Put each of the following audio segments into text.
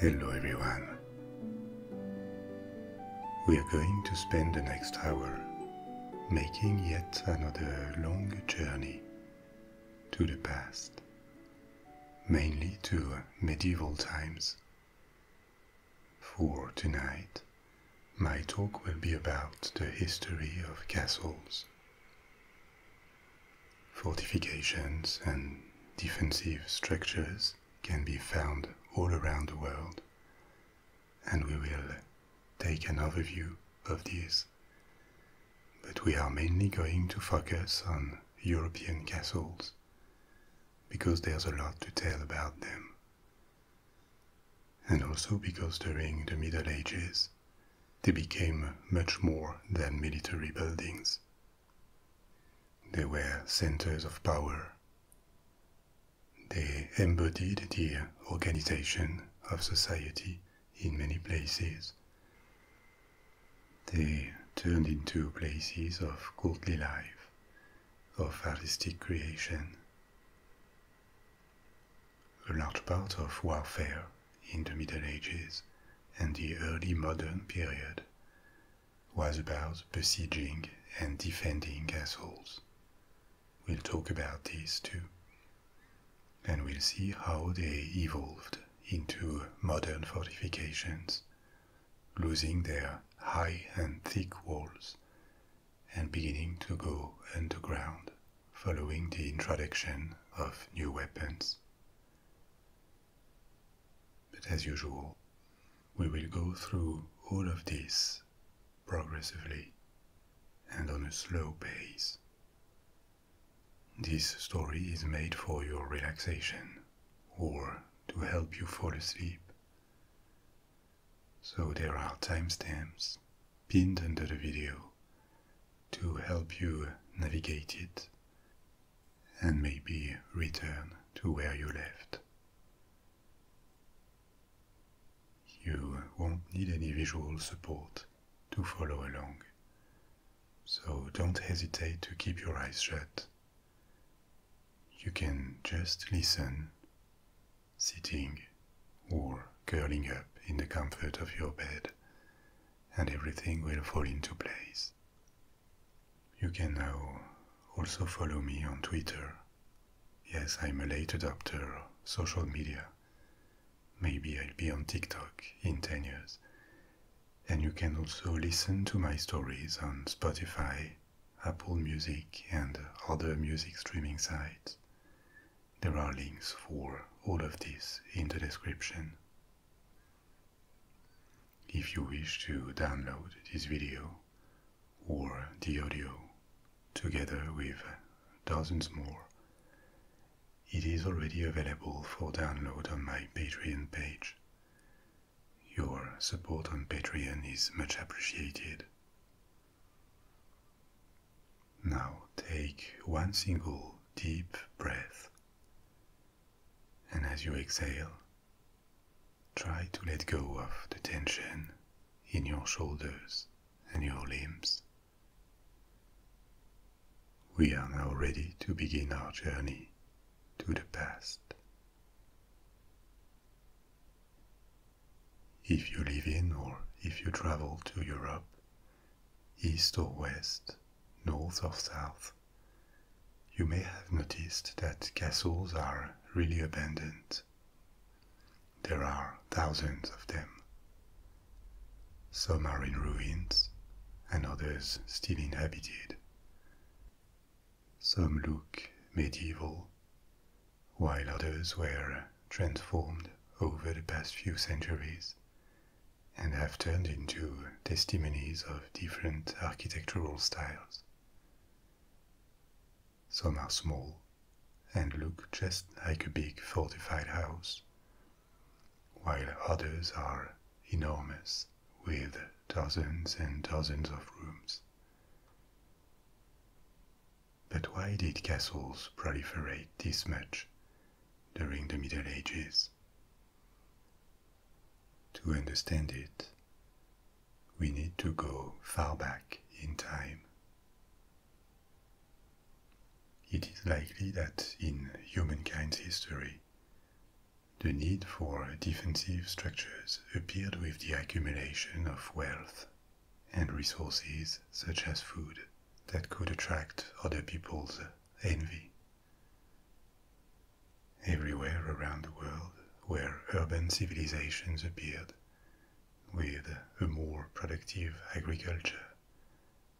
Hello everyone. We are going to spend the next hour making yet another long journey to the past, mainly to medieval times for tonight, my talk will be about the history of castles, fortifications, and defensive structures can be found all around the world, and we will take an overview of these. But we are mainly going to focus on European castles because there's a lot to tell about them. And also because during the Middle Ages, they became much more than military buildings. They were centers of power. They embodied the organization of society in many places. They turned into places of courtly life of artistic creation. A large part of warfare in the Middle Ages and the early modern period was about besieging and defending castles. We'll talk about these too, and we'll see how they evolved into modern fortifications losing their high and thick walls, and beginning to go underground following the introduction of new weapons. But as usual, we will go through all of this progressively and on a slow pace. This story is made for your relaxation or to help you fall asleep so there are timestamps pinned under the video to help you navigate it and maybe return to where you left. You won't need any visual support to follow along, so don't hesitate to keep your eyes shut you can just listen, sitting or curling up in the comfort of your bed, and everything will fall into place. You can now also follow me on Twitter. Yes, I'm a late adopter, of social media. Maybe I'll be on TikTok in 10 years. And you can also listen to my stories on Spotify Apple Music and other music streaming sites. There are links for all of this in the description. If you wish to download this video or the audio together with dozens more, it is already available for download on my Patreon page. Your support on Patreon is much appreciated. Now take one single deep breath, and as you exhale, try to let go of the tension in your shoulders and your limbs. We are now ready to begin our journey to the past if you live in or if you travel to Europe, east or west, north or south, you may have noticed that castles are really abandoned. There are thousands of them. Some are in ruins and others still inhabited. Some look medieval, while others were transformed over the past few centuries and have turned into testimonies of different architectural styles. Some are small and look just like a big fortified house, while others are enormous with dozens and dozens of rooms. But why did castles proliferate this much during the Middle Ages? To understand it, we need to go far back in time. It is likely that in humankind's history, the need for defensive structures appeared with the accumulation of wealth and resources such as food that could attract other people's envy. Everywhere around the world where urban civilizations appeared, with a more productive agriculture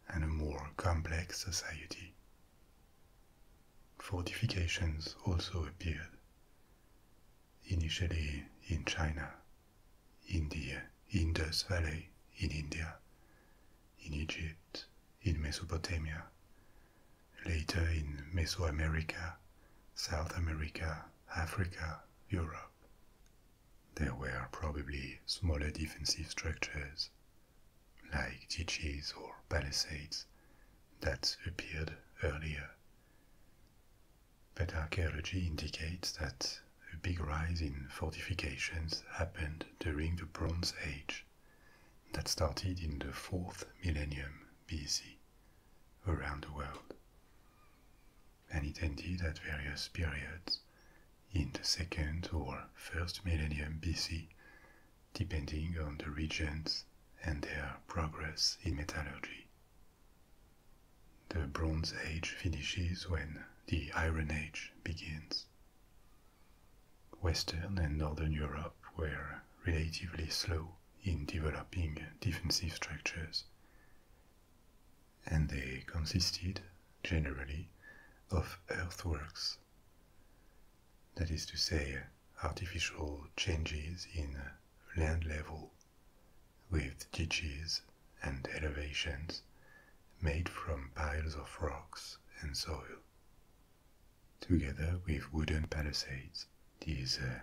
and a more complex society. Fortifications also appeared initially in China, in the Indus Valley in India, in Egypt, in Mesopotamia, later in Mesoamerica, South America, Africa, Europe. There were probably smaller defensive structures, like ditches or palisades, that appeared earlier. But archaeology indicates that a big rise in fortifications happened during the Bronze Age that started in the fourth millennium BC around the world. And it ended at various periods in the second or first millennium BC, depending on the regions and their progress in metallurgy. The Bronze Age finishes when the Iron Age begins. Western and Northern Europe were relatively slow in developing defensive structures, and they consisted, generally, of earthworks. That is to say, artificial changes in land level with ditches and elevations made from piles of rocks and soil. Together with wooden palisades, these uh,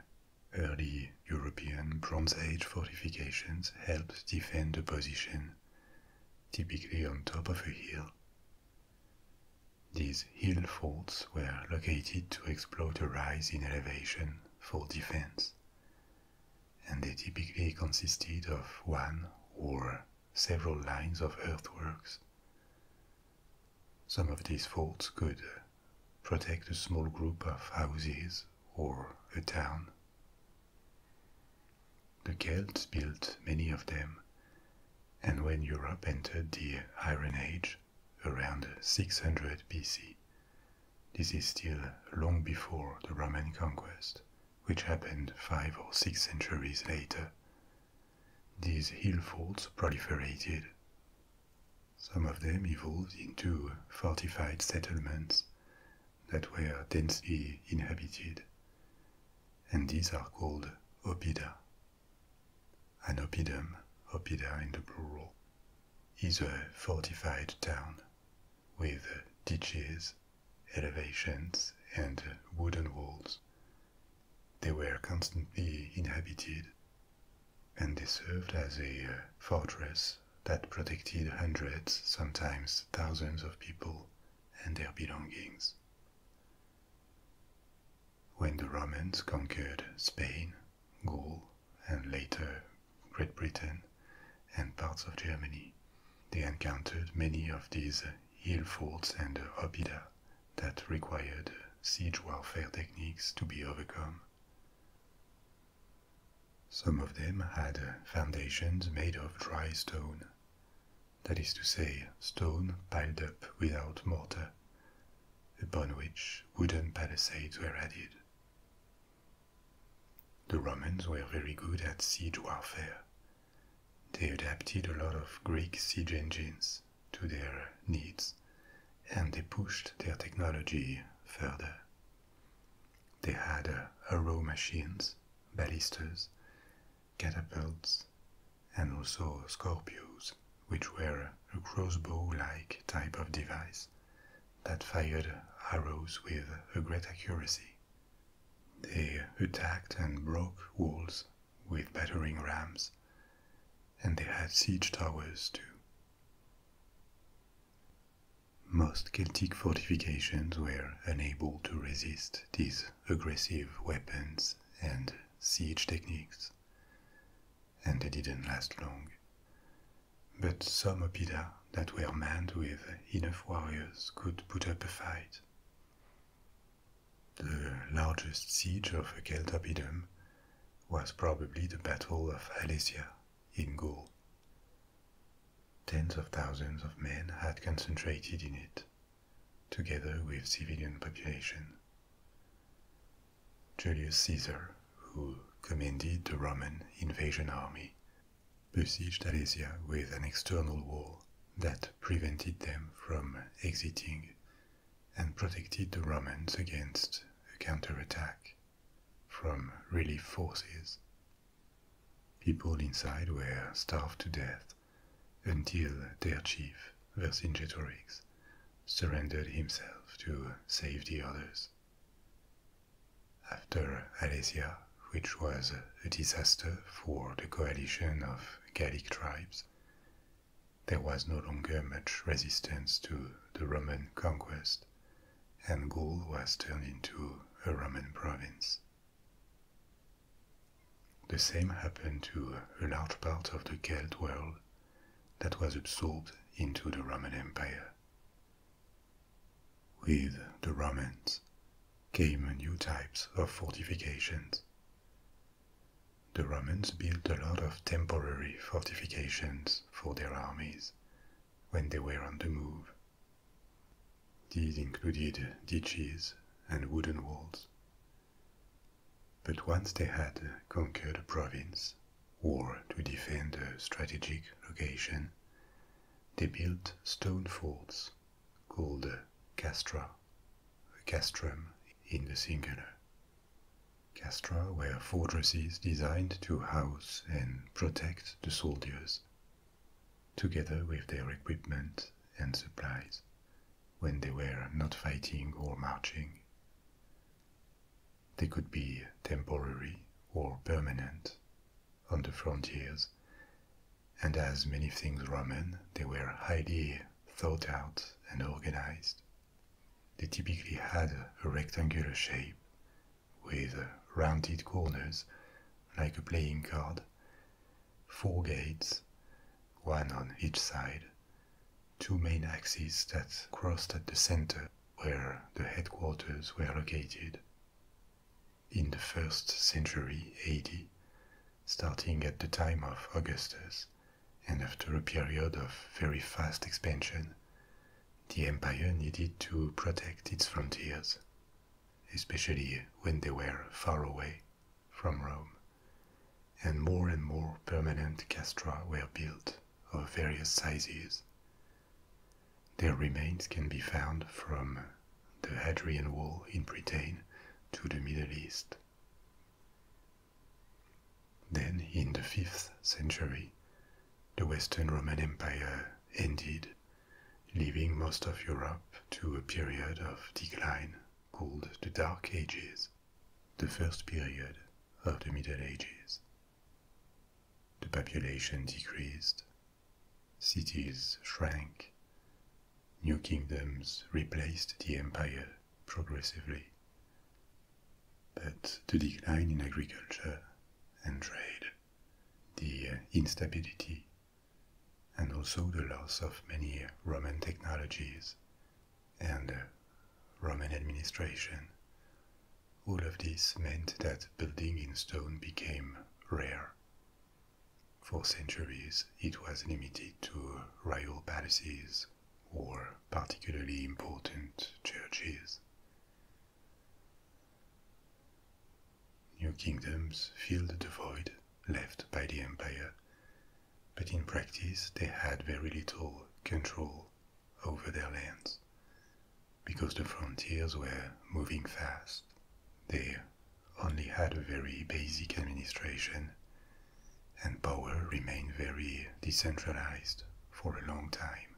early European Bronze Age fortifications helped defend a position, typically on top of a hill. These hill forts were located to exploit a rise in elevation for defense, and they typically consisted of one or several lines of earthworks. Some of these forts could protect a small group of houses or a town. The Celts built many of them, and when Europe entered the Iron Age, around 600 BC. This is still long before the Roman conquest, which happened five or six centuries later. These hill forts proliferated. Some of them evolved into fortified settlements that were densely inhabited, and these are called oppida. An oppidum, oppida in the plural, is a fortified town with ditches, elevations, and wooden walls. They were constantly inhabited, and they served as a uh, fortress that protected hundreds, sometimes thousands of people and their belongings. When the Romans conquered Spain, Gaul, and later Great Britain and parts of Germany, they encountered many of these hill forts and oppida that required siege warfare techniques to be overcome. Some of them had foundations made of dry stone, that is to say, stone piled up without mortar, upon which wooden palisades were added. The Romans were very good at siege warfare. They adapted a lot of Greek siege engines to their needs, and they pushed their technology further. They had uh, arrow machines, ballistas, catapults, and also scorpios, which were a crossbow like type of device that fired arrows with great accuracy. They attacked and broke walls with battering rams, and they had siege towers too. Most Celtic fortifications were unable to resist these aggressive weapons and siege techniques and they didn't last long. But some Opida that were manned with enough warriors could put up a fight. The largest siege of a Celtopidum was probably the Battle of Alesia in Gaul. Tens of thousands of men had concentrated in it, together with civilian population. Julius Caesar, who commanded the Roman invasion army, besieged Alesia with an external wall that prevented them from exiting and protected the Romans against a counterattack from relief forces. People inside were starved to death until their chief, Vercingetorix, surrendered himself to save the others. After Alesia, which was a disaster for the coalition of Gallic tribes, there was no longer much resistance to the Roman conquest, and Gaul was turned into a Roman province. The same happened to a large part of the Celt world that was absorbed into the Roman Empire. With the Romans came new types of fortifications. The Romans built a lot of temporary fortifications for their armies when they were on the move. These included ditches and wooden walls. But once they had conquered a province, or to defend a strategic location, they built stone forts called castra, castrum in the singular. Castra were fortresses designed to house and protect the soldiers, together with their equipment and supplies, when they were not fighting or marching. They could be temporary or permanent on the frontiers, and as many things Roman, they were highly thought out and organized. They typically had a rectangular shape with rounded corners like a playing card, four gates, one on each side, two main axes that crossed at the center where the headquarters were located. In the first century AD, starting at the time of Augustus, and after a period of very fast expansion, the empire needed to protect its frontiers, especially when they were far away from Rome, and more and more permanent castra were built of various sizes. Their remains can be found from the Hadrian Wall in Britain to the Middle East. Then, in the 5th century, the Western Roman Empire ended, leaving most of Europe to a period of decline called the Dark Ages, the first period of the Middle Ages. The population decreased, cities shrank, new kingdoms replaced the empire progressively. But the decline in agriculture and trade, the instability, and also the loss of many Roman technologies and Roman administration. All of this meant that building in stone became rare. For centuries, it was limited to royal palaces or particularly important churches. New kingdoms filled the void left by the empire, but in practice they had very little control over their lands. Because the frontiers were moving fast, they only had a very basic administration, and power remained very decentralized for a long time.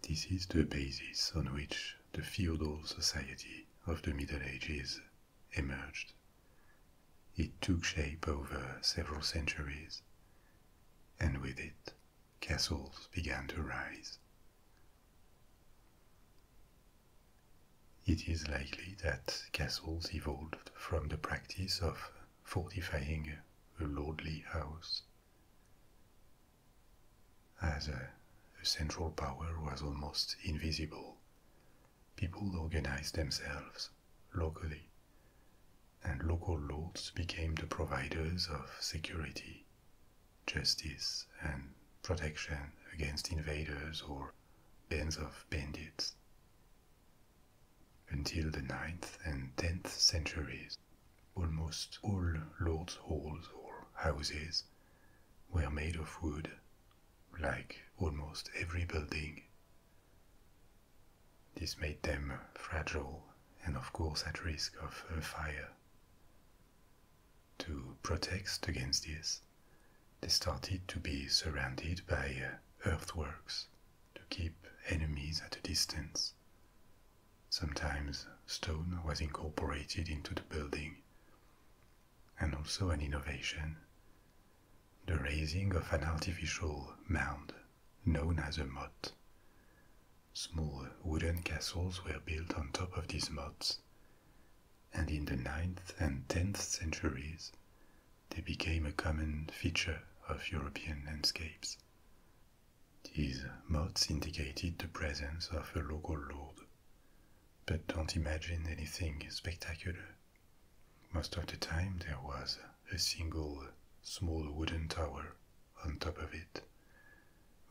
This is the basis on which the feudal society of the Middle Ages emerged. It took shape over several centuries and with it, castles began to rise. It is likely that castles evolved from the practice of fortifying a lordly house. As a, central power was almost invisible, people organized themselves locally, and local lords became the providers of security, justice, and protection against invaders or bands of bandits. Until the ninth and 10th centuries, almost all lords' halls or houses were made of wood, like almost every building, this made them fragile and, of course, at risk of fire. To protect against this, they started to be surrounded by uh, earthworks to keep enemies at a distance. Sometimes stone was incorporated into the building, and also an innovation the raising of an artificial mound known as a motte. Small wooden castles were built on top of these mottes, and in the ninth and 10th centuries they became a common feature of European landscapes. These mottes indicated the presence of a local lord, but don't imagine anything spectacular. Most of the time there was a single small wooden tower on top of it,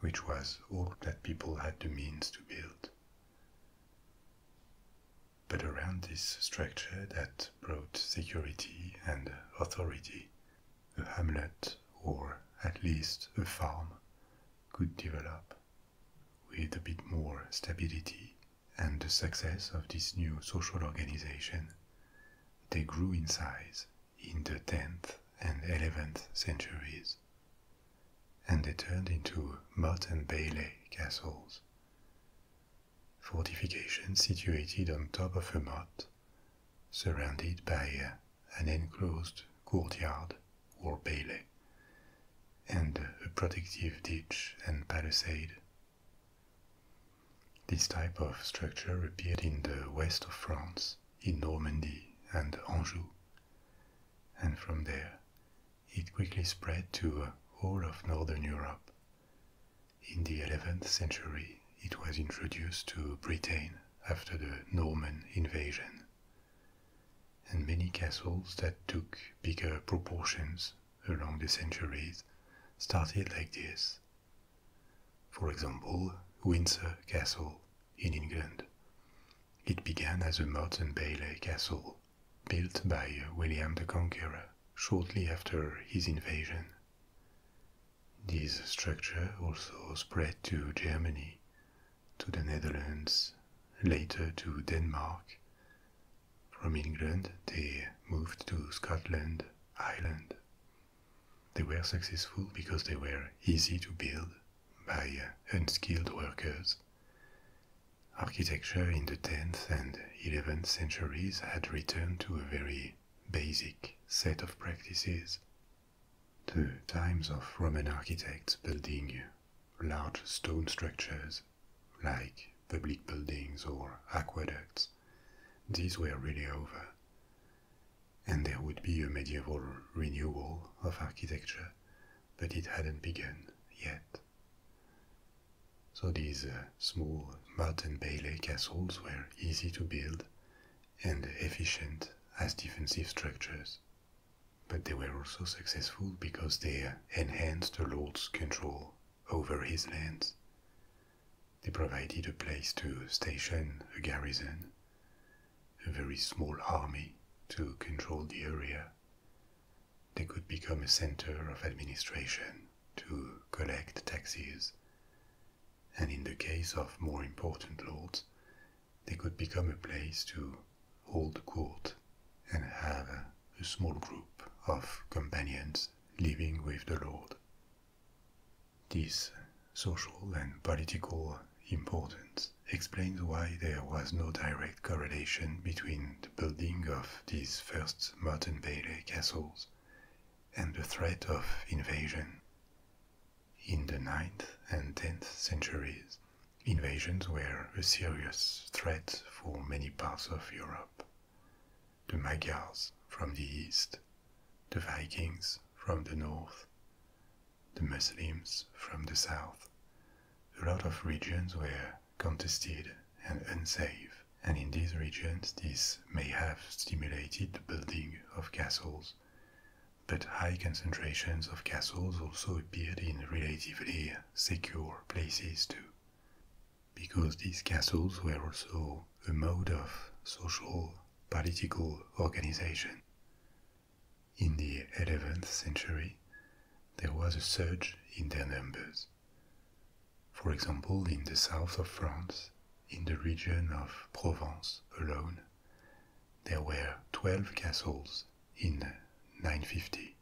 which was all that people had the means to build. But around this structure that brought security and authority, a hamlet or at least a farm could develop with a bit more stability and the success of this new social organization, they grew in size in the 10th and 11th centuries, and they turned into motte and bailey castles. Fortifications situated on top of a motte, surrounded by uh, an enclosed courtyard or bailey, and a protective ditch and palisade this type of structure appeared in the west of France, in Normandy and Anjou, and from there it quickly spread to uh, all of northern Europe. In the 11th century, it was introduced to Britain after the Norman invasion, and many castles that took bigger proportions along the centuries started like this for example, Windsor Castle in England. It began as a Morton Bailey castle built by William the Conqueror shortly after his invasion. This structure also spread to Germany, to the Netherlands, later to Denmark. From England, they moved to Scotland, Ireland, they were successful because they were easy to build by unskilled workers. Architecture in the 10th and 11th centuries had returned to a very basic set of practices. The times of Roman architects building large stone structures like public buildings or aqueducts these were really over, and there would be a medieval renewal of architecture, but it hadn't begun yet. So these uh, small mountain bailey castles were easy to build and efficient as defensive structures. But they were also successful because they enhanced the lord's control over his lands they provided a place to station a garrison, a very small army to control the area. They could become a center of administration to collect taxes, and in the case of more important lords, they could become a place to hold court and have a small group of companions living with the lord this social and political importance explains why there was no direct correlation between the building of these first modern Bailey castles and the threat of invasion. In the 9th and 10th centuries, invasions were a serious threat for many parts of Europe the Magyars from the east, the Vikings from the north, the Muslims from the south. A lot of regions were contested and unsafe, and in these regions this may have stimulated the building of castles. But high concentrations of castles also appeared in relatively secure places too because these castles were also a mode of social political organization. In the 11th century, there was a surge in their numbers. For example, in the south of France, in the region of Provence alone, there were 12 castles in 950.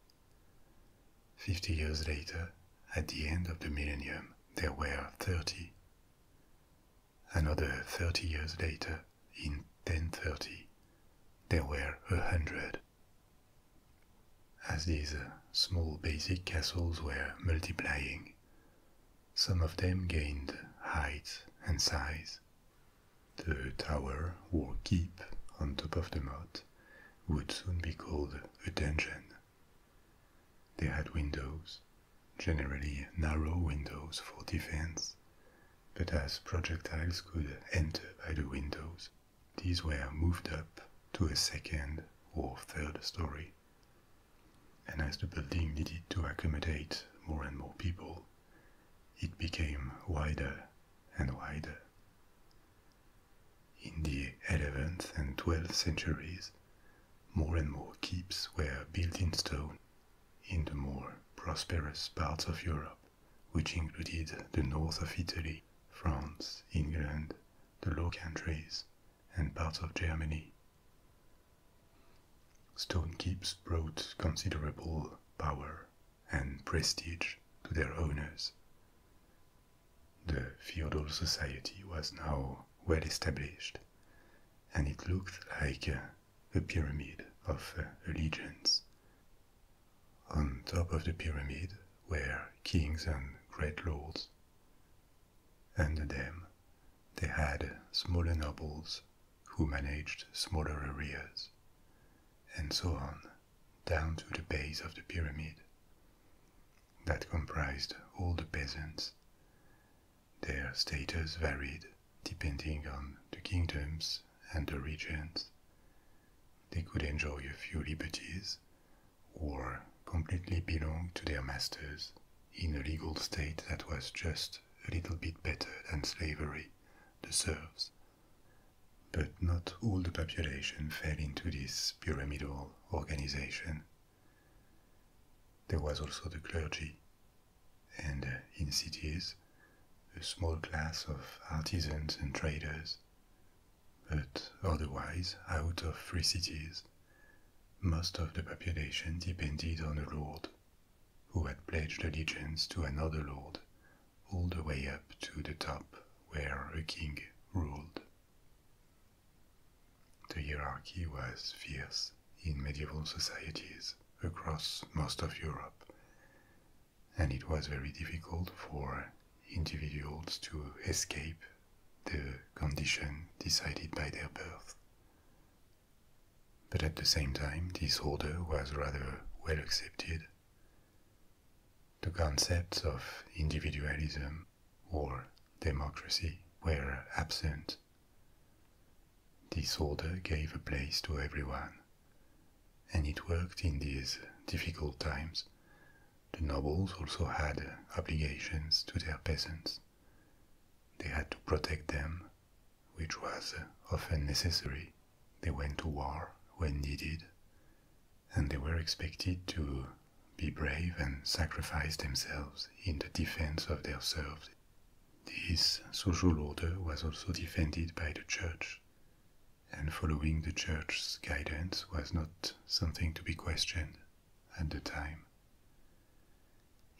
Fifty years later, at the end of the millennium, there were 30 Another 30 years later, in 1030, there were a hundred. As these uh, small basic castles were multiplying, some of them gained height and size. The tower or keep on top of the moat would soon be called a dungeon. They had windows, generally narrow windows for defense, but as projectiles could enter by the windows, these were moved up to a second or third story. And as the building needed to accommodate more and more people, it became wider and wider. In the 11th and 12th centuries, more and more keeps were built in stone in the more prosperous parts of Europe, which included the north of Italy, France, England, the Low Countries, and parts of Germany. Stone keeps brought considerable power and prestige to their owners. The feudal society was now well established, and it looked like a pyramid of allegiance. Uh, on top of the pyramid were kings and great lords. Under them, they had smaller nobles who managed smaller areas, and so on, down to the base of the pyramid. That comprised all the peasants, their status varied depending on the kingdoms and the regions. They could enjoy a few liberties or completely belong to their masters in a legal state that was just a little bit better than slavery, the serfs. But not all the population fell into this pyramidal organization. There was also the clergy, and uh, in cities, a small class of artisans and traders, but otherwise out of free cities. Most of the population depended on a lord, who had pledged allegiance to another lord, all the way up to the top where a king ruled. The hierarchy was fierce in medieval societies across most of Europe, and it was very difficult for individuals to escape the condition decided by their birth. But at the same time, this order was rather well accepted. The concepts of individualism or democracy were absent this order gave a place to everyone, and it worked in these difficult times. The nobles also had obligations to their peasants. They had to protect them, which was often necessary. They went to war when needed, and they were expected to be brave and sacrifice themselves in the defense of their serfs. This social order was also defended by the church, and following the church's guidance was not something to be questioned at the time.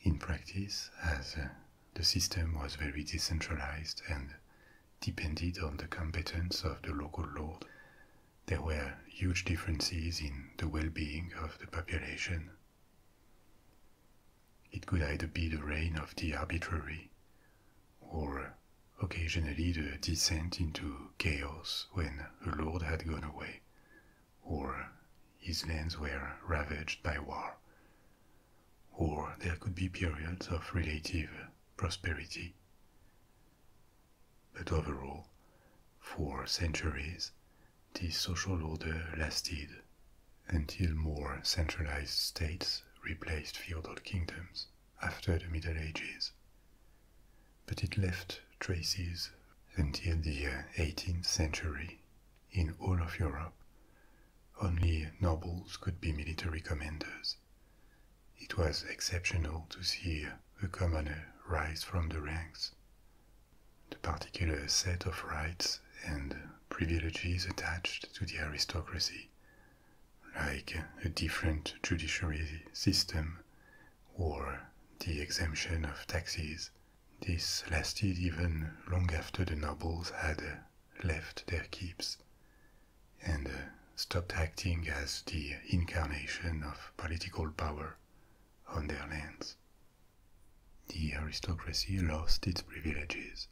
In practice, as uh, the system was very decentralized and depended on the competence of the local lord, there were huge differences in the well being of the population it could either be the reign of the arbitrary, or occasionally the descent into chaos when a lord had gone away, or his lands were ravaged by war. Or there could be periods of relative prosperity. But overall, for centuries, this social order lasted until more centralized states replaced feudal kingdoms after the Middle Ages. But it left traces until the 18th century in all of Europe. Only nobles could be military commanders. It was exceptional to see a commoner rise from the ranks the particular set of rights and privileges attached to the aristocracy, like a different judiciary system or the exemption of taxes. This lasted even long after the nobles had left their keeps and stopped acting as the incarnation of political power on their lands. The aristocracy lost its privileges,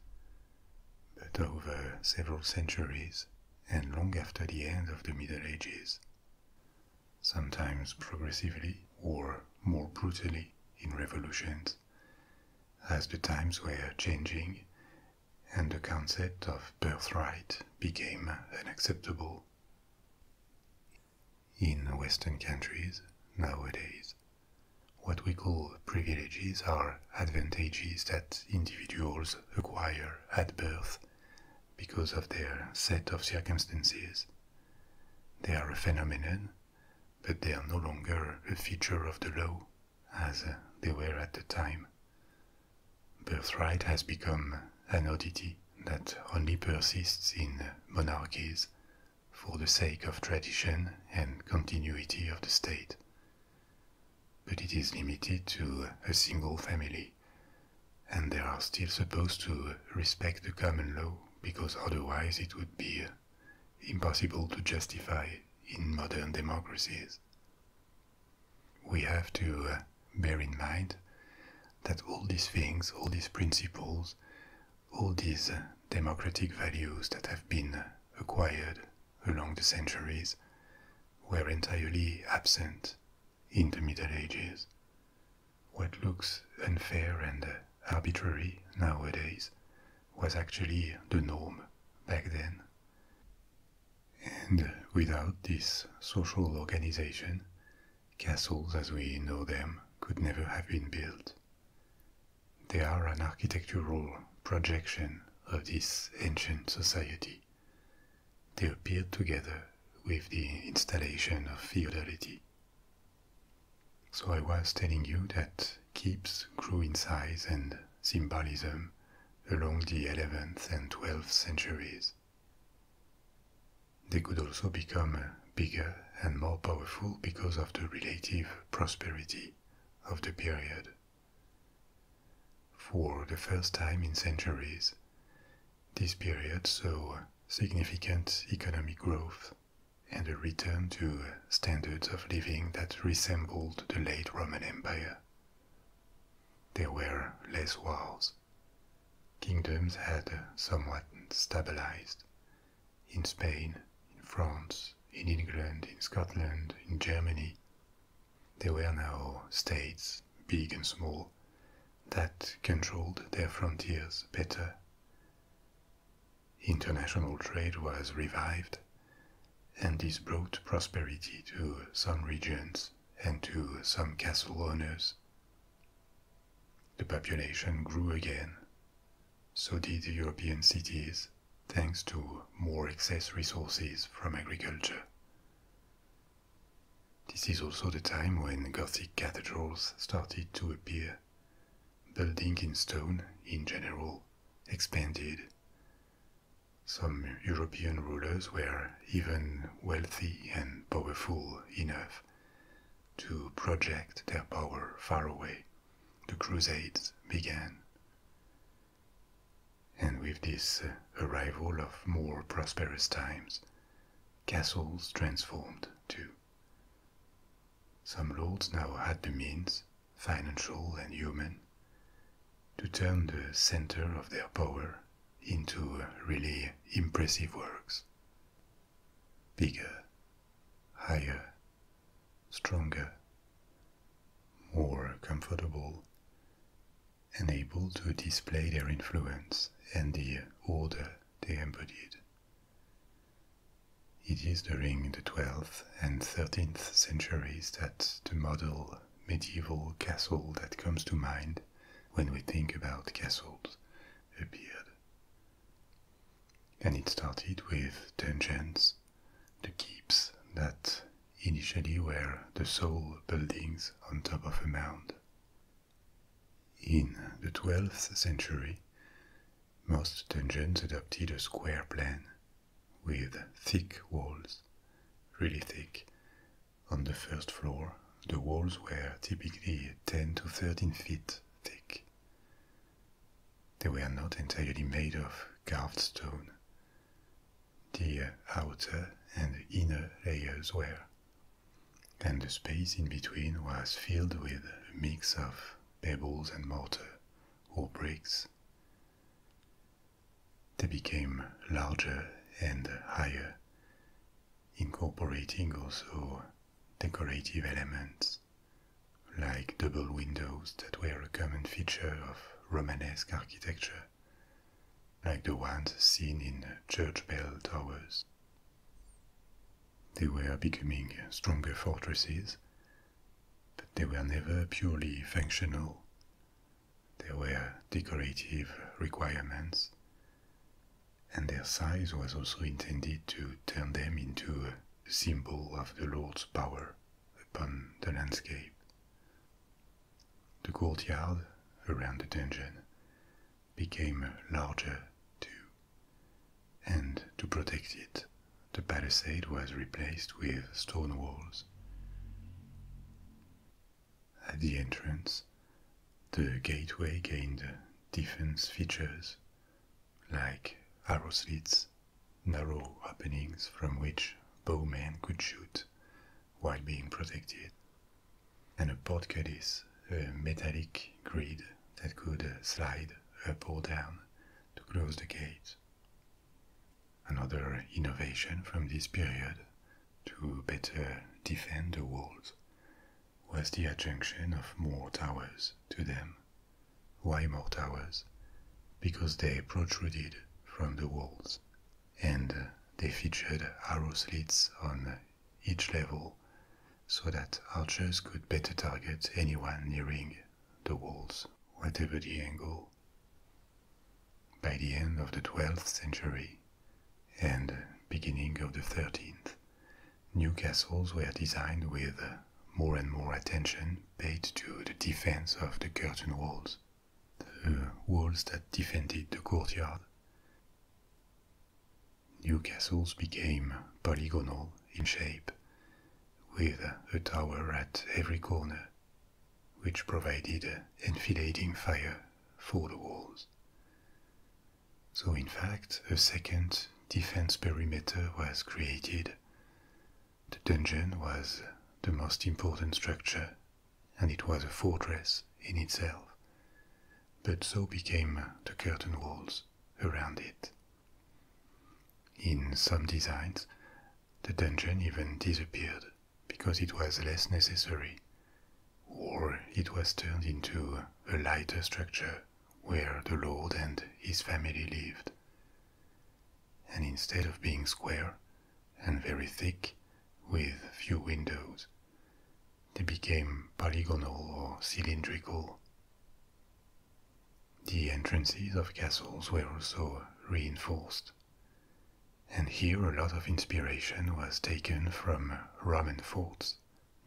but over several centuries and long after the end of the Middle Ages, sometimes progressively or more brutally in revolutions, as the times were changing and the concept of birthright became unacceptable. In Western countries nowadays, what we call privileges are advantages that individuals acquire at birth because of their set of circumstances. They are a phenomenon, but they are no longer a feature of the law as they were at the time. Birthright has become an oddity that only persists in monarchies for the sake of tradition and continuity of the state. But it is limited to a single family, and they are still supposed to respect the common law because otherwise it would be impossible to justify in modern democracies. We have to uh, bear in mind that all these things, all these principles, all these democratic values that have been acquired along the centuries were entirely absent in the Middle Ages. What looks unfair and arbitrary nowadays was actually the norm back then. And without this social organization, Castles as we know them could never have been built. They are an architectural projection of this ancient society. They appeared together with the installation of feudality. So I was telling you that keeps grew in size and symbolism along the 11th and 12th centuries. They could also become bigger and more powerful because of the relative prosperity of the period. For the first time in centuries, this period saw significant economic growth and a return to standards of living that resembled the late Roman Empire. There were less wars. Kingdoms had somewhat stabilized in Spain, in France, in England, in Scotland, in Germany. there were now states, big and small, that controlled their frontiers better. International trade was revived, and this brought prosperity to some regions and to some castle owners. The population grew again. So did European cities, thanks to more excess resources from agriculture. This is also the time when Gothic cathedrals started to appear. Building in stone, in general, expanded. Some European rulers were even wealthy and powerful enough to project their power far away, the Crusades began. And with this uh, arrival of more prosperous times, castles transformed too. Some lords now had the means, financial and human, to turn the center of their power into uh, really impressive works. Bigger higher, stronger, more comfortable, and able to display their influence and the order they embodied. It is during the 12th and 13th centuries that the model medieval castle that comes to mind when we think about castles appeared. And it started with tangents, the keeps that initially were the sole buildings on top of a mound. In the 12th century, most tangents adopted a square plan with thick walls, really thick. On the first floor, the walls were typically 10 to 13 feet thick. They were not entirely made of carved stone. The outer and inner layers were, and the space in between was filled with a mix of pebbles and mortar or bricks. They became larger and higher, incorporating also decorative elements, like double windows that were a common feature of Romanesque architecture, like the ones seen in church bell towers. They were becoming stronger fortresses, but they were never purely functional. There were decorative requirements, and their size was also intended to turn them into a symbol of the Lord's power upon the landscape. The courtyard around the dungeon became larger too, and to protect it, the palisade was replaced with stone walls. At the entrance, the gateway gained defense features like arrow slits, narrow openings from which bowmen could shoot while being protected, and a portcullis, a metallic grid that could slide up or down to close the gate. Another innovation from this period to better defend the walls was the adjunction of more towers to them. Why more towers? Because they protruded from the walls, and they featured arrow slits on each level so that archers could better target anyone nearing the walls, whatever the angle. By the end of the 12th century and beginning of the 13th, New castles were designed with more and more attention paid to the defense of the curtain walls, the walls that defended the courtyard. New castles became polygonal in shape, with a tower at every corner, which provided an enfilading fire for the walls. So, in fact, a second defense perimeter was created. The dungeon was the most important structure, and it was a fortress in itself, but so became the curtain walls around it. In some designs, the dungeon even disappeared because it was less necessary, or it was turned into a lighter structure where the Lord and his family lived. And instead of being square and very thick, with few windows, they became polygonal or cylindrical. The entrances of castles were also reinforced. And here a lot of inspiration was taken from Roman forts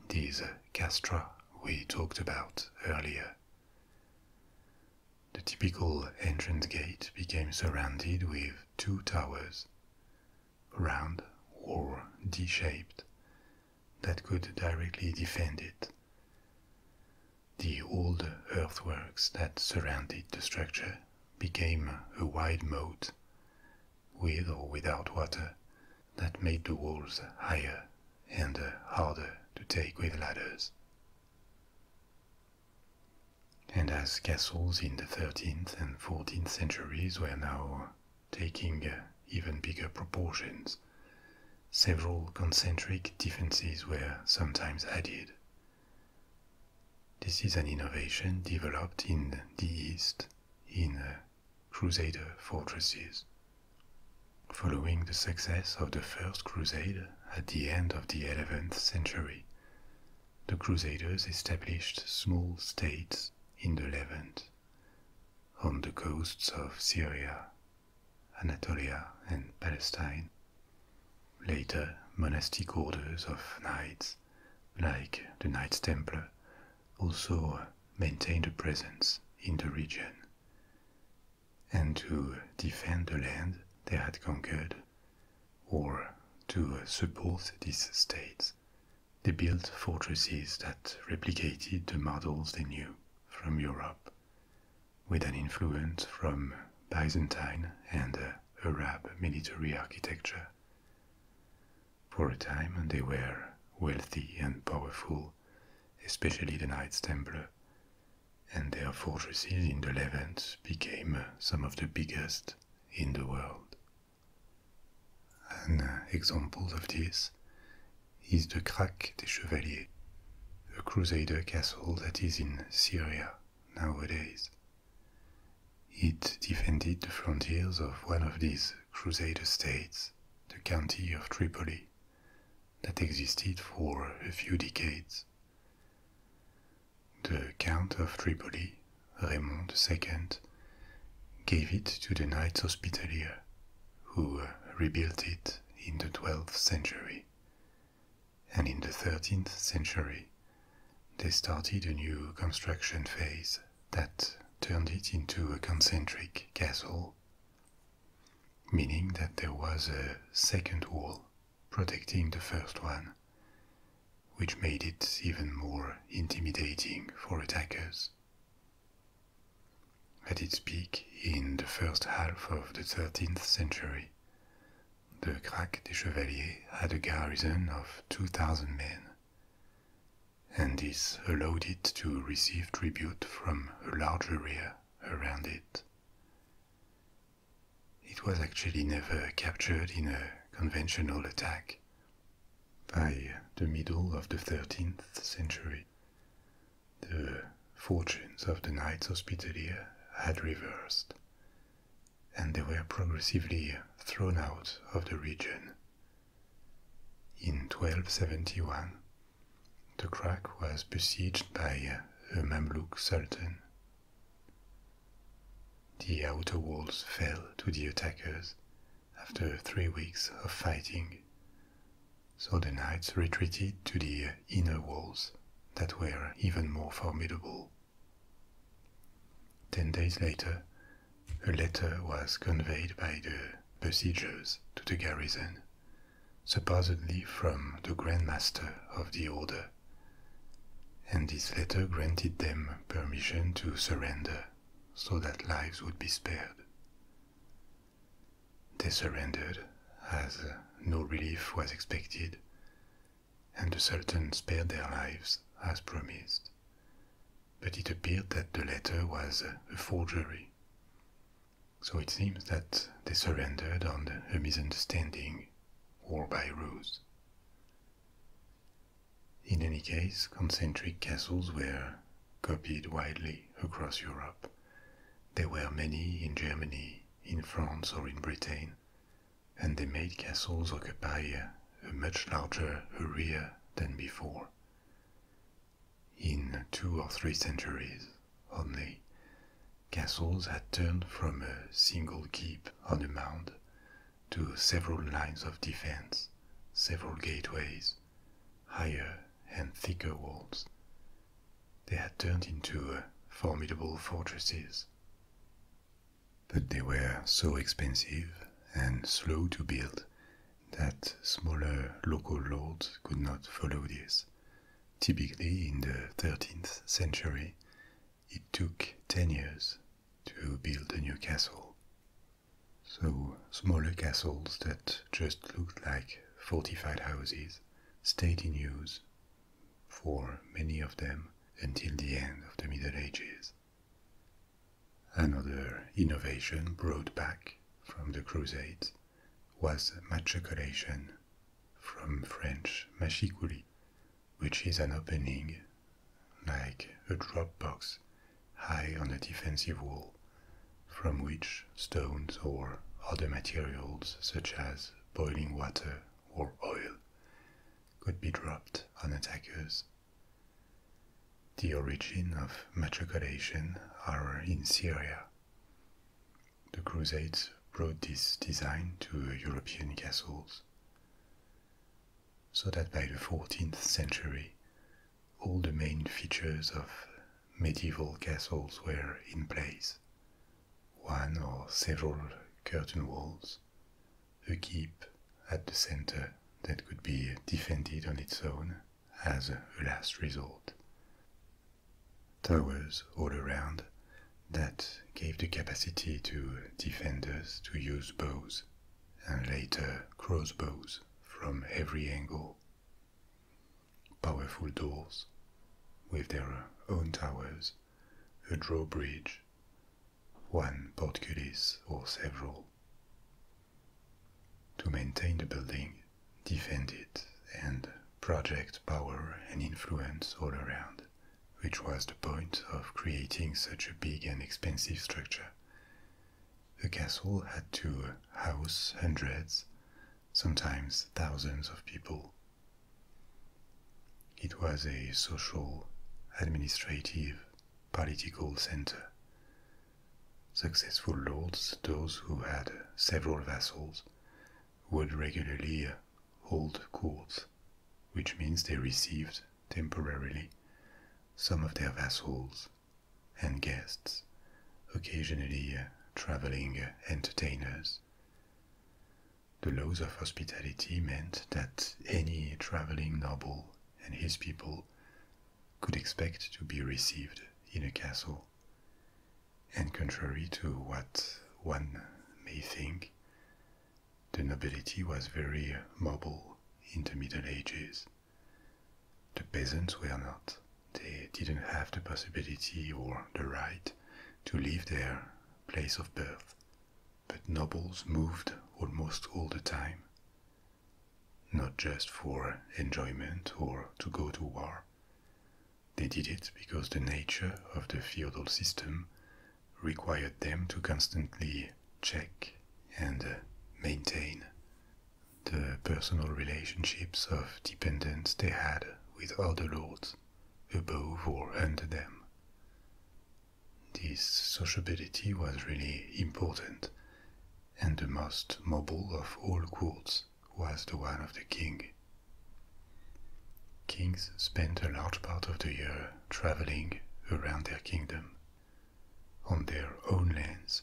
these castra we talked about earlier. The typical entrance gate became surrounded with two towers, round or D shaped, that could directly defend it. The old earthworks that surrounded the structure became a wide moat, with or without water, that made the walls higher and uh, harder to take with ladders. And as castles in the 13th and 14th centuries were now taking uh, even bigger proportions, several concentric defenses were sometimes added. This is an innovation developed in the East in uh, Crusader fortresses. Following the success of the First Crusade at the end of the 11th century, the Crusaders established small states in the Levant, on the coasts of Syria, Anatolia, and Palestine. Later, monastic orders of knights, like the Knights Templar, also maintained a presence in the region and to defend the land they had conquered, or to support these states, they built fortresses that replicated the models they knew from Europe, with an influence from Byzantine and Arab military architecture. For a time, they were wealthy and powerful, especially the Knights Templar, and their fortresses in the Levant became uh, some of the biggest in the world. An uh, example of this is the Krak des Chevaliers, a crusader castle that is in Syria nowadays. It defended the frontiers of one of these crusader states, the county of Tripoli that existed for a few decades. The Count of Tripoli, Raymond II, gave it to the Knights Hospitalier, who rebuilt it in the 12th century. And in the 13th century, they started a new construction phase that turned it into a concentric castle meaning that there was a second wall protecting the first one, which made it even more intimidating for attackers. At its peak in the first half of the 13th century, the Crac des Chevaliers had a garrison of 2,000 men and this allowed it to receive tribute from a large area around it. It was actually never captured in a conventional attack. By the middle of the 13th century, the fortunes of the Knights Hospitaller had reversed, and they were progressively thrown out of the region. In 1271, the Krak was besieged by uh, a Mamluk sultan. The outer walls fell to the attackers after three weeks of fighting, so the knights retreated to the uh, inner walls that were even more formidable. Ten days later, a letter was conveyed by the besiegers to the garrison supposedly from the Grand Master of the Order, and this letter granted them permission to surrender so that lives would be spared. They surrendered as no relief was expected, and the Sultan spared their lives as promised. But it appeared that the letter was a forgery. So it seems that they surrendered on a misunderstanding or by ruse. In any case, concentric castles were copied widely across Europe. There were many in Germany, in France, or in Britain, and they made castles occupy a much larger area than before. In two or three centuries only, castles had turned from a single keep on a mound to several lines of defense, several gateways, higher and thicker walls. They had turned into uh, formidable fortresses. But they were so expensive and slow to build that smaller local lords could not follow this. Typically, in the 13th century, it took 10 years to build a new castle. So, smaller castles that just looked like fortified houses stayed in use for many of them until the end of the Middle Ages. Another innovation brought back from the Crusades was matriculation, from French machicoulis, which is an opening, like a drop box high on a defensive wall, from which stones or other materials such as boiling water or oil could be dropped on attackers. The origin of matriculation are in Syria, the Crusades brought this design to European castles, so that by the 14th century, all the main features of medieval castles were in place one or several curtain walls, a keep at the center that could be defended on its own, as a last resort. Towers all around that gave the capacity to defenders to use bows and later crossbows from every angle. Powerful doors with their own towers, a drawbridge, one portcullis or several. To maintain the building, Defended and project power and influence all around, which was the point of creating such a big and expensive structure. The castle had to house hundreds, sometimes thousands of people. It was a social, administrative, political center, Successful lords, those who had several vassals, would regularly hold courts, which means they received temporarily some of their vassals and guests, occasionally traveling entertainers. The laws of hospitality meant that any traveling noble and his people could expect to be received in a castle and contrary to what one may think, the nobility was very mobile in the Middle Ages. The peasants were not. They didn't have the possibility or the right to leave their place of birth, but nobles moved almost all the time, not just for enjoyment or to go to war, they did it because the nature of the feudal system required them to constantly check and uh, maintain the personal relationships of dependence they had with other lords above or under them. This sociability was really important and the most mobile of all courts was the one of the king. Kings spent a large part of the year traveling around their kingdom, on their own lands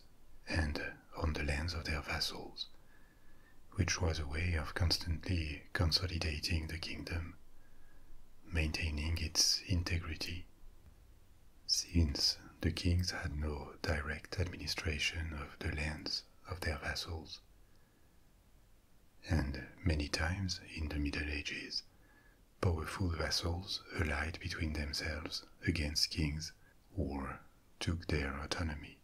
and on the lands of their vassals, which was a way of constantly consolidating the kingdom, maintaining its integrity. Since the kings had no direct administration of the lands of their vassals. And many times in the Middle Ages, powerful vassals allied between themselves against kings or took their autonomy.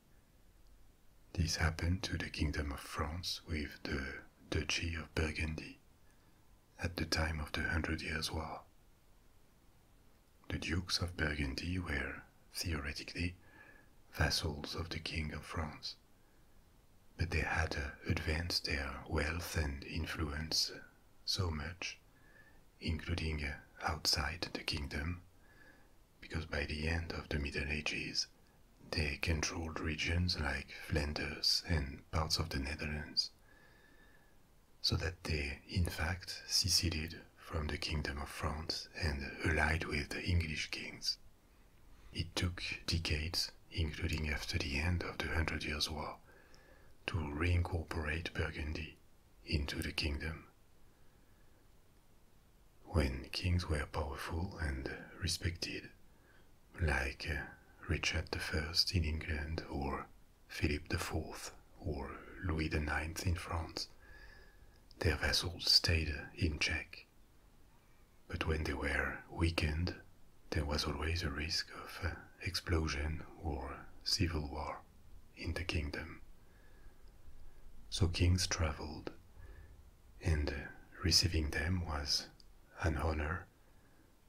This happened to the Kingdom of France with the Duchy of Burgundy at the time of the Hundred Years' War. The Dukes of Burgundy were, theoretically, vassals of the King of France, but they had uh, advanced their wealth and influence uh, so much, including uh, outside the kingdom, because by the end of the Middle Ages they controlled regions like Flanders and parts of the Netherlands, so that they in fact seceded from the Kingdom of France and allied with the English kings. It took decades, including after the end of the Hundred Years' War, to reincorporate Burgundy into the kingdom. When kings were powerful and respected, like uh, Richard I in England or Philip IV or Louis IX in France, their vassals stayed in check. But when they were weakened, there was always a risk of uh, explosion or civil war in the kingdom. So kings traveled, and receiving them was an honor,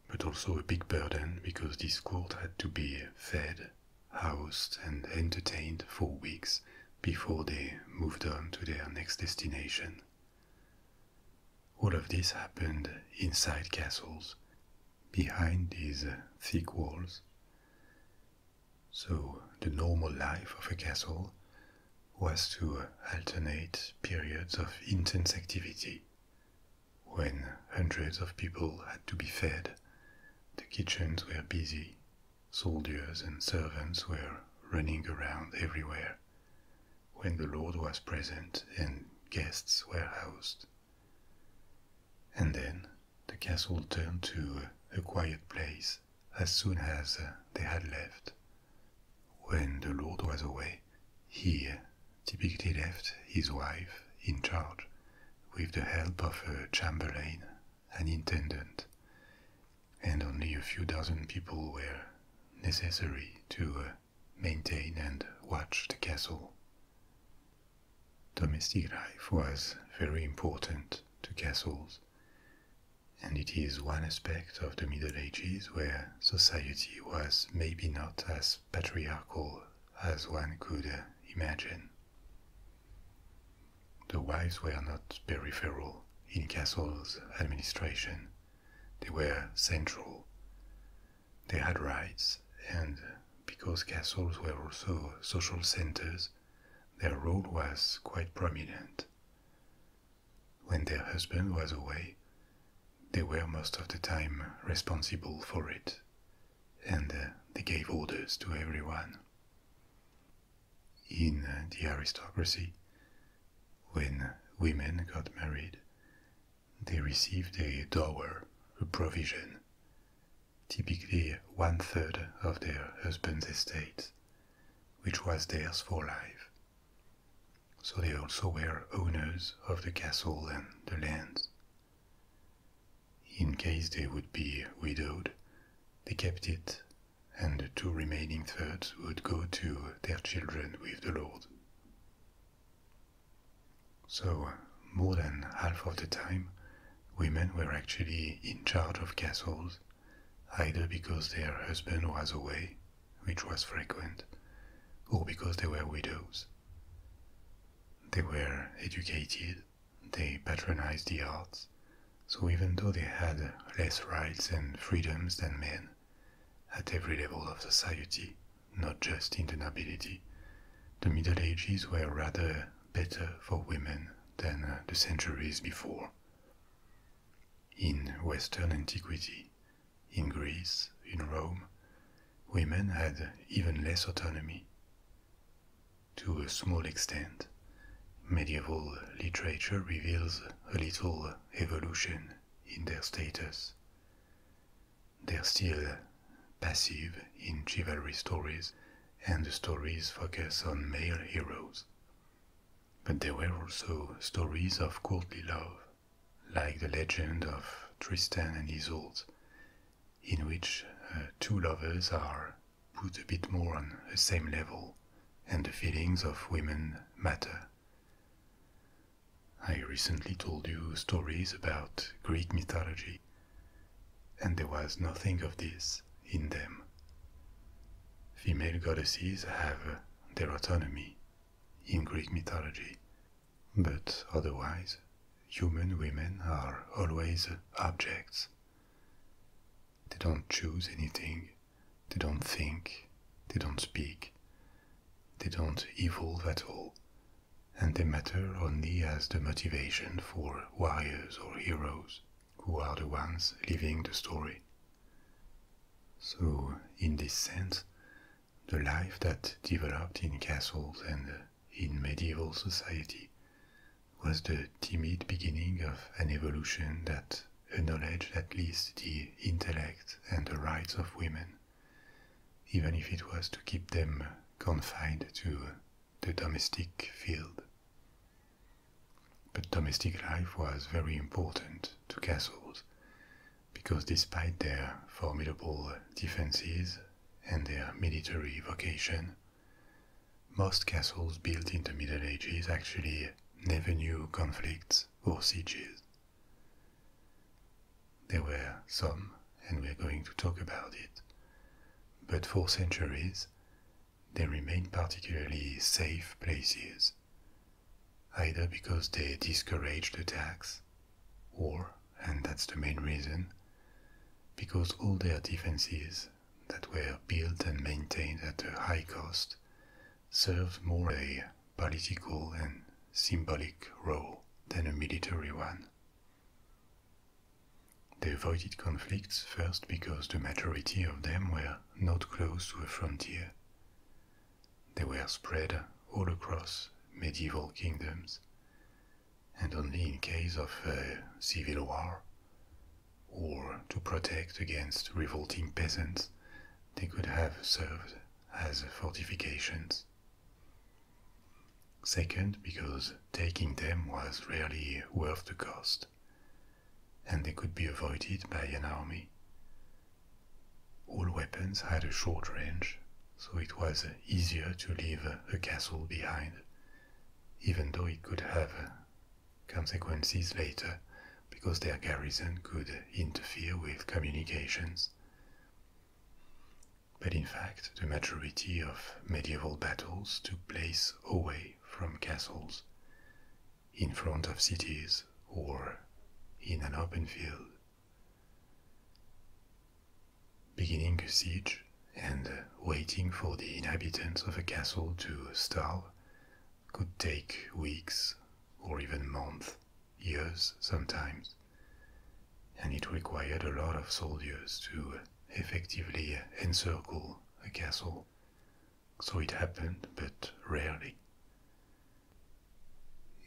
but also a big burden because this court had to be fed housed, and entertained for weeks before they moved on to their next destination. All of this happened inside castles, behind these uh, thick walls. So the normal life of a castle was to uh, alternate periods of intense activity when hundreds of people had to be fed, the kitchens were busy, Soldiers and servants were running around everywhere when the Lord was present and guests were housed. And then the castle turned to a quiet place as soon as uh, they had left. When the Lord was away, he typically left his wife in charge with the help of a chamberlain an intendant, and only a few dozen people were necessary to uh, maintain and watch the castle. Domestic life was very important to castles, and it is one aspect of the Middle Ages where society was maybe not as patriarchal as one could uh, imagine. The wives were not peripheral in Castle's administration, they were central. They had rights, and because castles were also social centers, their role was quite prominent. When their husband was away, they were most of the time responsible for it, and uh, they gave orders to everyone in uh, the aristocracy, when women got married, they received a dower, a provision, typically one third of their husband's estate, which was theirs for life. So they also were owners of the castle and the lands. In case they would be widowed, they kept it, and the two remaining thirds would go to their children with the Lord. So, more than half of the time, women were actually in charge of castles, either because their husband was away, which was frequent, or because they were widows. They were educated, they patronized the arts, so even though they had less rights and freedoms than men, at every level of society, not just in the nobility, the Middle Ages were rather better for women than uh, the centuries before. In Western antiquity, in Greece, in Rome, women had even less autonomy to a small extent. Medieval literature reveals a little evolution in their status. They're still passive in chivalry stories, and the stories focus on male heroes. But there were also stories of courtly love, like the legend of Tristan and Isolde, in which uh, two lovers are put a bit more on the same level, and the feelings of women matter. I recently told you stories about Greek mythology, and there was nothing of this in them. Female goddesses have their autonomy in Greek mythology, but otherwise, human women are always objects. They don't choose anything. They don't think. They don't speak. They don't evolve at all. And they matter only as the motivation for warriors or heroes, who are the ones living the story. So, in this sense, the life that developed in castles and in medieval society was the timid beginning of an evolution that acknowledged at least the intellect and the rights of women, even if it was to keep them confined to the domestic field. But domestic life was very important to castles, because despite their formidable defenses and their military vocation, most castles built in the Middle Ages actually never knew conflicts or sieges. There were some, and we're going to talk about it, but for centuries they remained particularly safe places, either because they discouraged attacks, or, and that's the main reason, because all their defenses that were built and maintained at a high cost served more a political and symbolic role than a military one. They avoided conflicts first because the majority of them were not close to a frontier. They were spread all across medieval kingdoms, and only in case of a civil war, or to protect against revolting peasants, they could have served as fortifications. Second, because taking them was rarely worth the cost, and they could be avoided by an army. All weapons had a short range, so it was easier to leave a castle behind, even though it could have consequences later because their garrison could interfere with communications. But in fact, the majority of medieval battles took place away from castles, in front of cities, or in an open field. Beginning a siege and uh, waiting for the inhabitants of a castle to starve could take weeks or even months, years sometimes. And it required a lot of soldiers to uh, effectively uh, encircle a castle. So it happened, but rarely.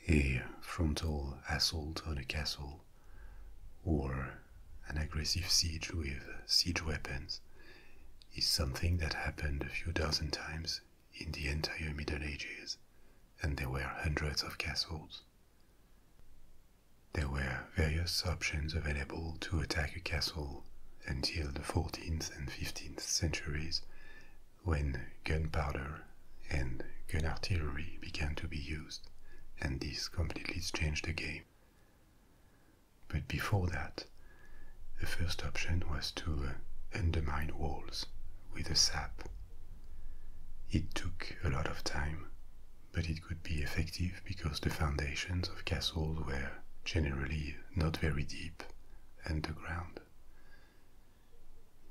A frontal assault on a castle, or an aggressive siege with siege weapons, is something that happened a few dozen times in the entire Middle Ages, and there were hundreds of castles. There were various options available to attack a castle until the 14th and 15th centuries, when gunpowder and gun artillery began to be used, and this completely changed the game. But before that, the first option was to uh, undermine walls with a sap. It took a lot of time, but it could be effective because the foundations of castles were generally not very deep underground.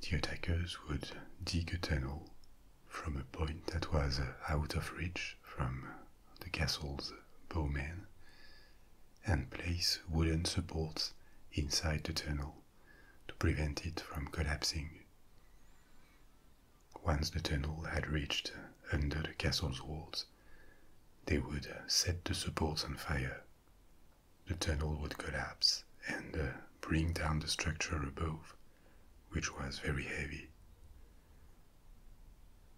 The attackers would dig a tunnel from a point that was uh, out of reach from the castle's bowmen, and place wooden supports inside the tunnel to prevent it from collapsing. Once the tunnel had reached under the castle's walls, they would set the supports on fire. The tunnel would collapse and uh, bring down the structure above, which was very heavy.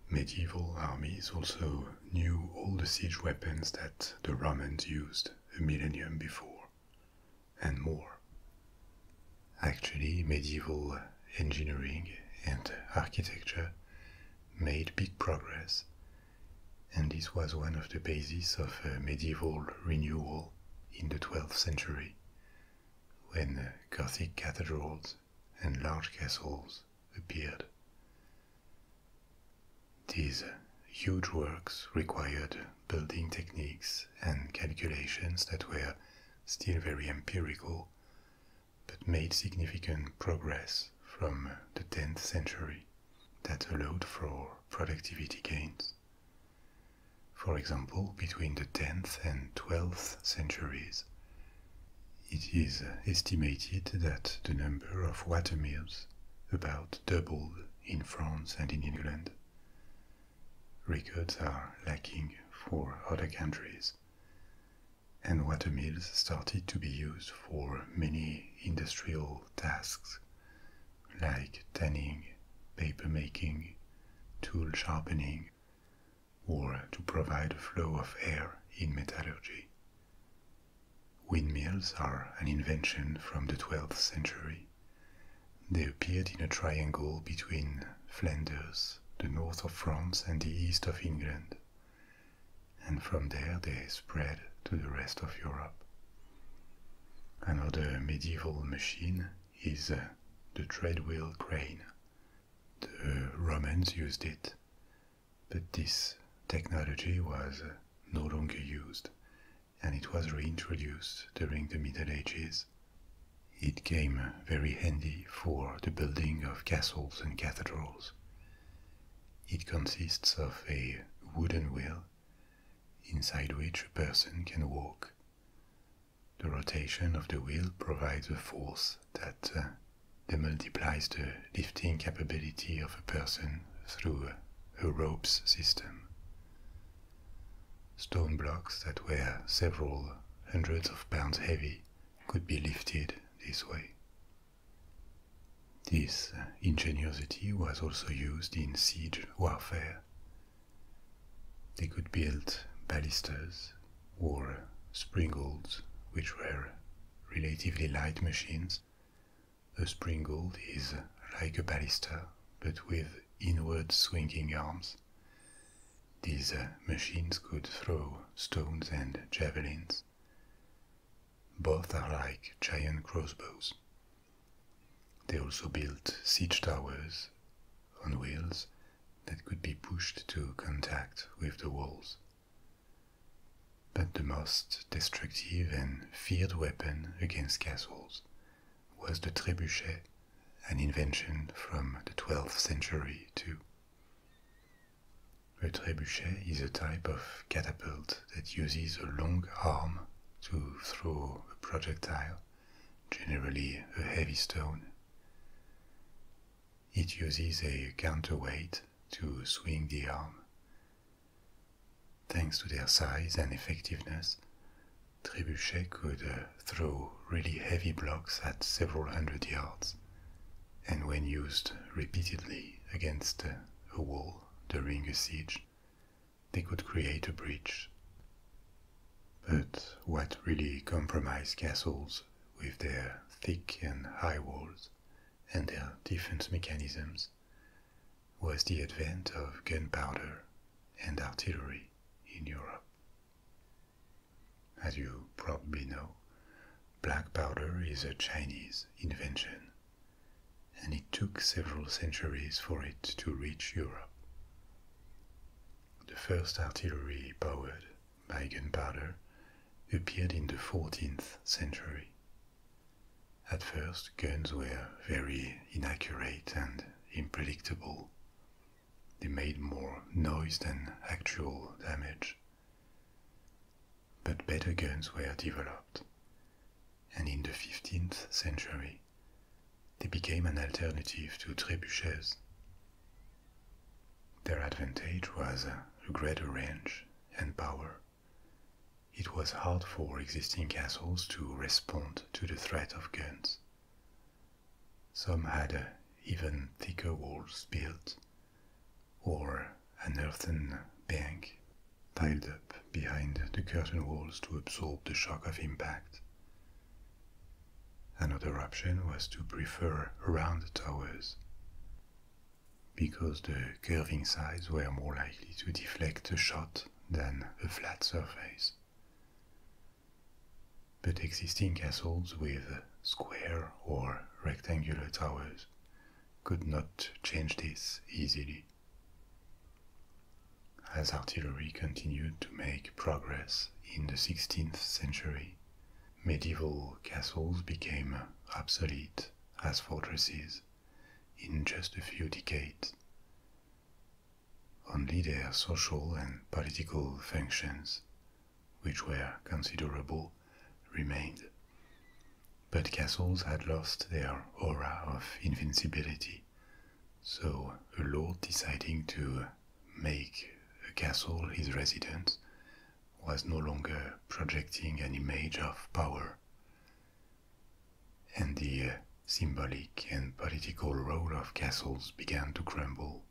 Medieval armies also knew all the siege weapons that the Romans used a millennium before, and more. Actually, medieval engineering and architecture made big progress, and this was one of the bases of medieval renewal in the 12th century, when Gothic cathedrals and large castles appeared. These huge works required building techniques and calculations that were still very empirical, but made significant progress from the 10th century that allowed for productivity gains. For example, between the 10th and 12th centuries, it is estimated that the number of watermills about doubled in France and in England. Records are lacking for other countries, and watermills started to be used for many industrial tasks like tanning, papermaking, tool sharpening, or to provide a flow of air in metallurgy. Windmills are an invention from the 12th century. They appeared in a triangle between Flanders, the north of France, and the east of England, and from there they spread to the rest of Europe. Another medieval machine is uh, the treadwheel crane, the Romans used it, but this technology was no longer used and it was reintroduced during the Middle Ages. It came very handy for the building of castles and cathedrals. It consists of a wooden wheel inside which a person can walk. The rotation of the wheel provides a force that uh, that multiplies the lifting capability of a person through a ropes system. Stone blocks that were several hundreds of pounds heavy could be lifted this way. This uh, ingenuity was also used in siege warfare. They could build ballistas or springolds, which were relatively light machines. A springold is like a ballister, but with inward swinging arms. These uh, machines could throw stones and javelins. Both are like giant crossbows. They also built siege towers on wheels that could be pushed to contact with the walls. But the most destructive and feared weapon against castles was the trebuchet, an invention from the 12th century too. A trebuchet is a type of catapult that uses a long arm to throw a projectile, generally a heavy stone. It uses a counterweight to swing the arm. Thanks to their size and effectiveness, trebuchet could uh, throw really heavy blocks at several hundred yards, and when used repeatedly against uh, a wall during a siege, they could create a breach. But what really compromised castles with their thick and high walls and their defense mechanisms was the advent of gunpowder and artillery in Europe. As you probably know, black powder is a Chinese invention, and it took several centuries for it to reach Europe. The first artillery powered by gunpowder appeared in the 14th century. At first, guns were very inaccurate and unpredictable. They made more noise than actual damage. But better guns were developed, and in the 15th century, they became an alternative to trebuchets. Their advantage was a greater range and power. It was hard for existing castles to respond to the threat of guns. Some had even thicker walls built, or an earthen bank piled up behind the curtain walls to absorb the shock of impact. Another option was to prefer round towers because the curving sides were more likely to deflect a shot than a flat surface. But existing castles with square or rectangular towers could not change this easily. As artillery continued to make progress in the 16th century, medieval castles became obsolete as fortresses in just a few decades. Only their social and political functions, which were considerable, remained. But castles had lost their aura of invincibility, so a lord deciding to make a castle his residence was no longer projecting an image of power. And the uh, symbolic and political role of castles began to crumble.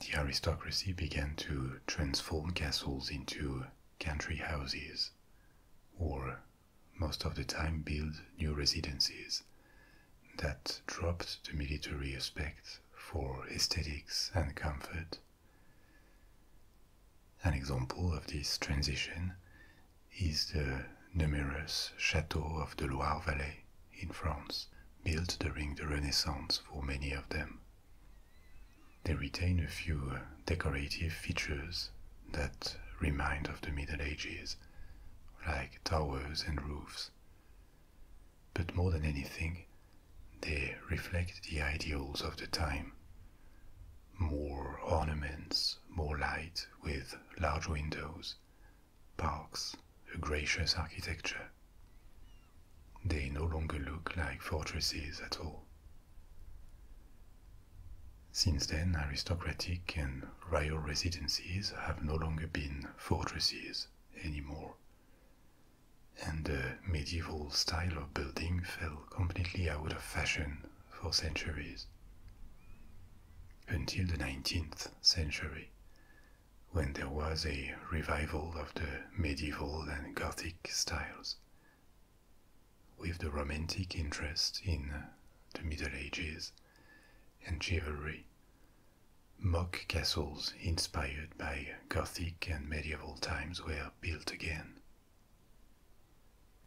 The aristocracy began to transform castles into country houses, or most of the time build new residences that dropped the military aspect for aesthetics and comfort. An example of this transition is the numerous chateaux of the Loire Valley in France, built during the Renaissance for many of them. They retain a few decorative features that remind of the Middle Ages, like towers and roofs but more than anything, they reflect the ideals of the time. More ornaments, more light with large windows, parks, a gracious architecture. They no longer look like fortresses at all. Since then, aristocratic and royal residences have no longer been fortresses anymore and the medieval style of building fell completely out of fashion for centuries. Until the 19th century, when there was a revival of the medieval and Gothic styles. With the romantic interest in the Middle Ages and chivalry, Mock castles inspired by Gothic and medieval times were built again.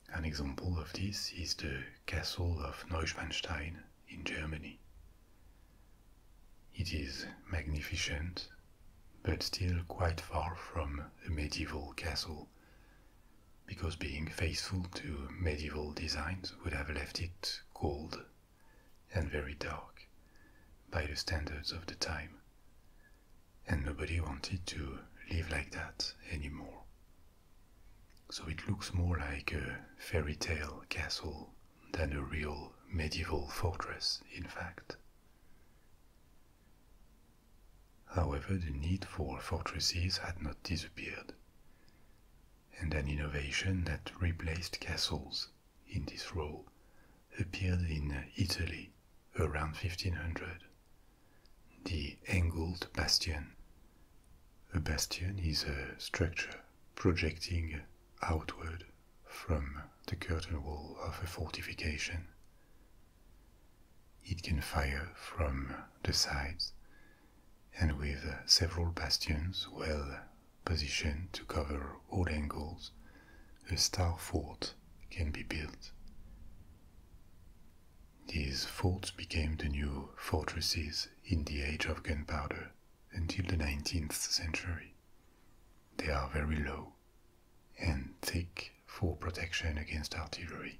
An example of this is the castle of Neuschwanstein in Germany. It is magnificent, but still quite far from a medieval castle, because being faithful to medieval designs would have left it cold and very dark by the standards of the time. And nobody wanted to live like that anymore. So it looks more like a fairy tale castle than a real medieval fortress, in fact. However, the need for fortresses had not disappeared, and an innovation that replaced castles in this role appeared in Italy around 1500. The angled bastion. A bastion is a structure projecting outward from the curtain wall of a fortification. It can fire from the sides, and with several bastions well positioned to cover all angles, a star fort can be built. These forts became the new fortresses in the age of gunpowder until the 19th century. They are very low and thick for protection against artillery,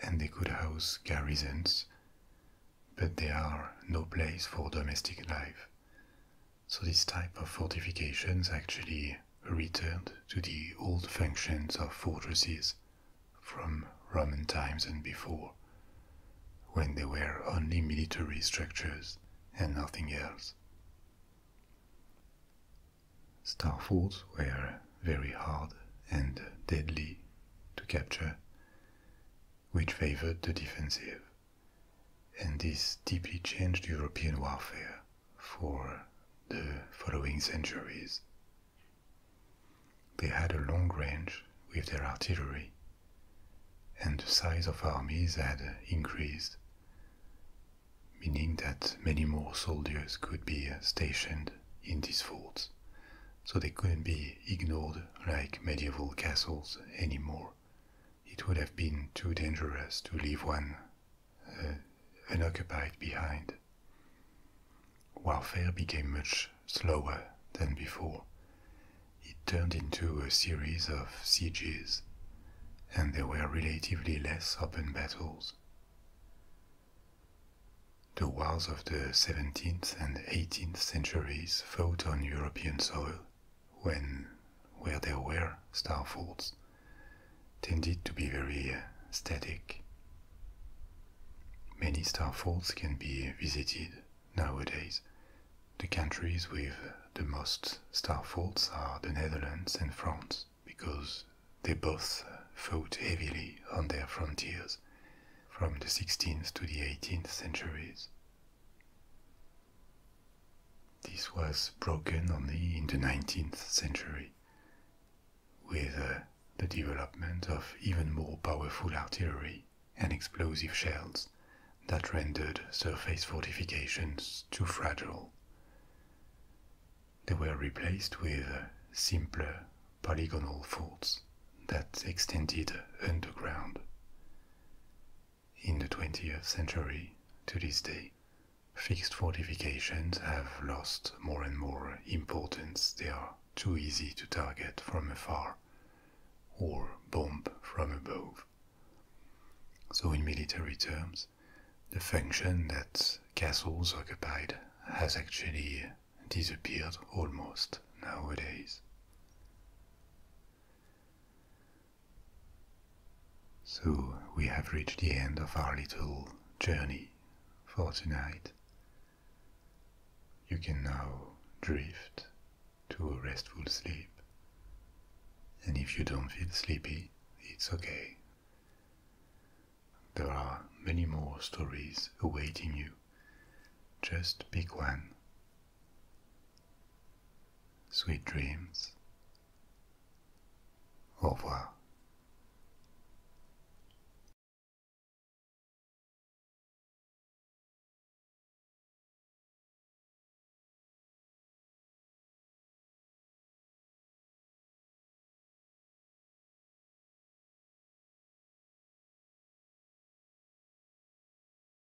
and they could house garrisons but they are no place for domestic life. So this type of fortifications actually returned to the old functions of fortresses from Roman times and before, when they were only military structures and nothing else. Star forts were very hard and deadly to capture, which favored the defensive and this deeply changed European warfare for the following centuries. They had a long range with their artillery, and the size of armies had increased, meaning that many more soldiers could be stationed in these forts, so they couldn't be ignored like medieval castles anymore it would have been too dangerous to leave one uh, unoccupied behind. Warfare became much slower than before. It turned into a series of sieges, and there were relatively less open battles. The wars of the 17th and 18th centuries fought on European soil when where there were star forts, tended to be very uh, static. Many star forts can be visited nowadays. The countries with the most star forts are the Netherlands and France because they both fought heavily on their frontiers from the 16th to the 18th centuries. This was broken only in the 19th century with uh, the development of even more powerful artillery and explosive shells that rendered surface fortifications too fragile. They were replaced with uh, simpler polygonal forts that extended underground. In the 20th century, to this day, fixed fortifications have lost more and more importance. They are too easy to target from afar or bomb from above. So, in military terms, the function that castles occupied has actually disappeared almost nowadays. So we have reached the end of our little journey for tonight. You can now drift to a restful sleep. And if you don't feel sleepy, it's okay. There are many more stories awaiting you. Just pick one Sweet dreams. Au revoir.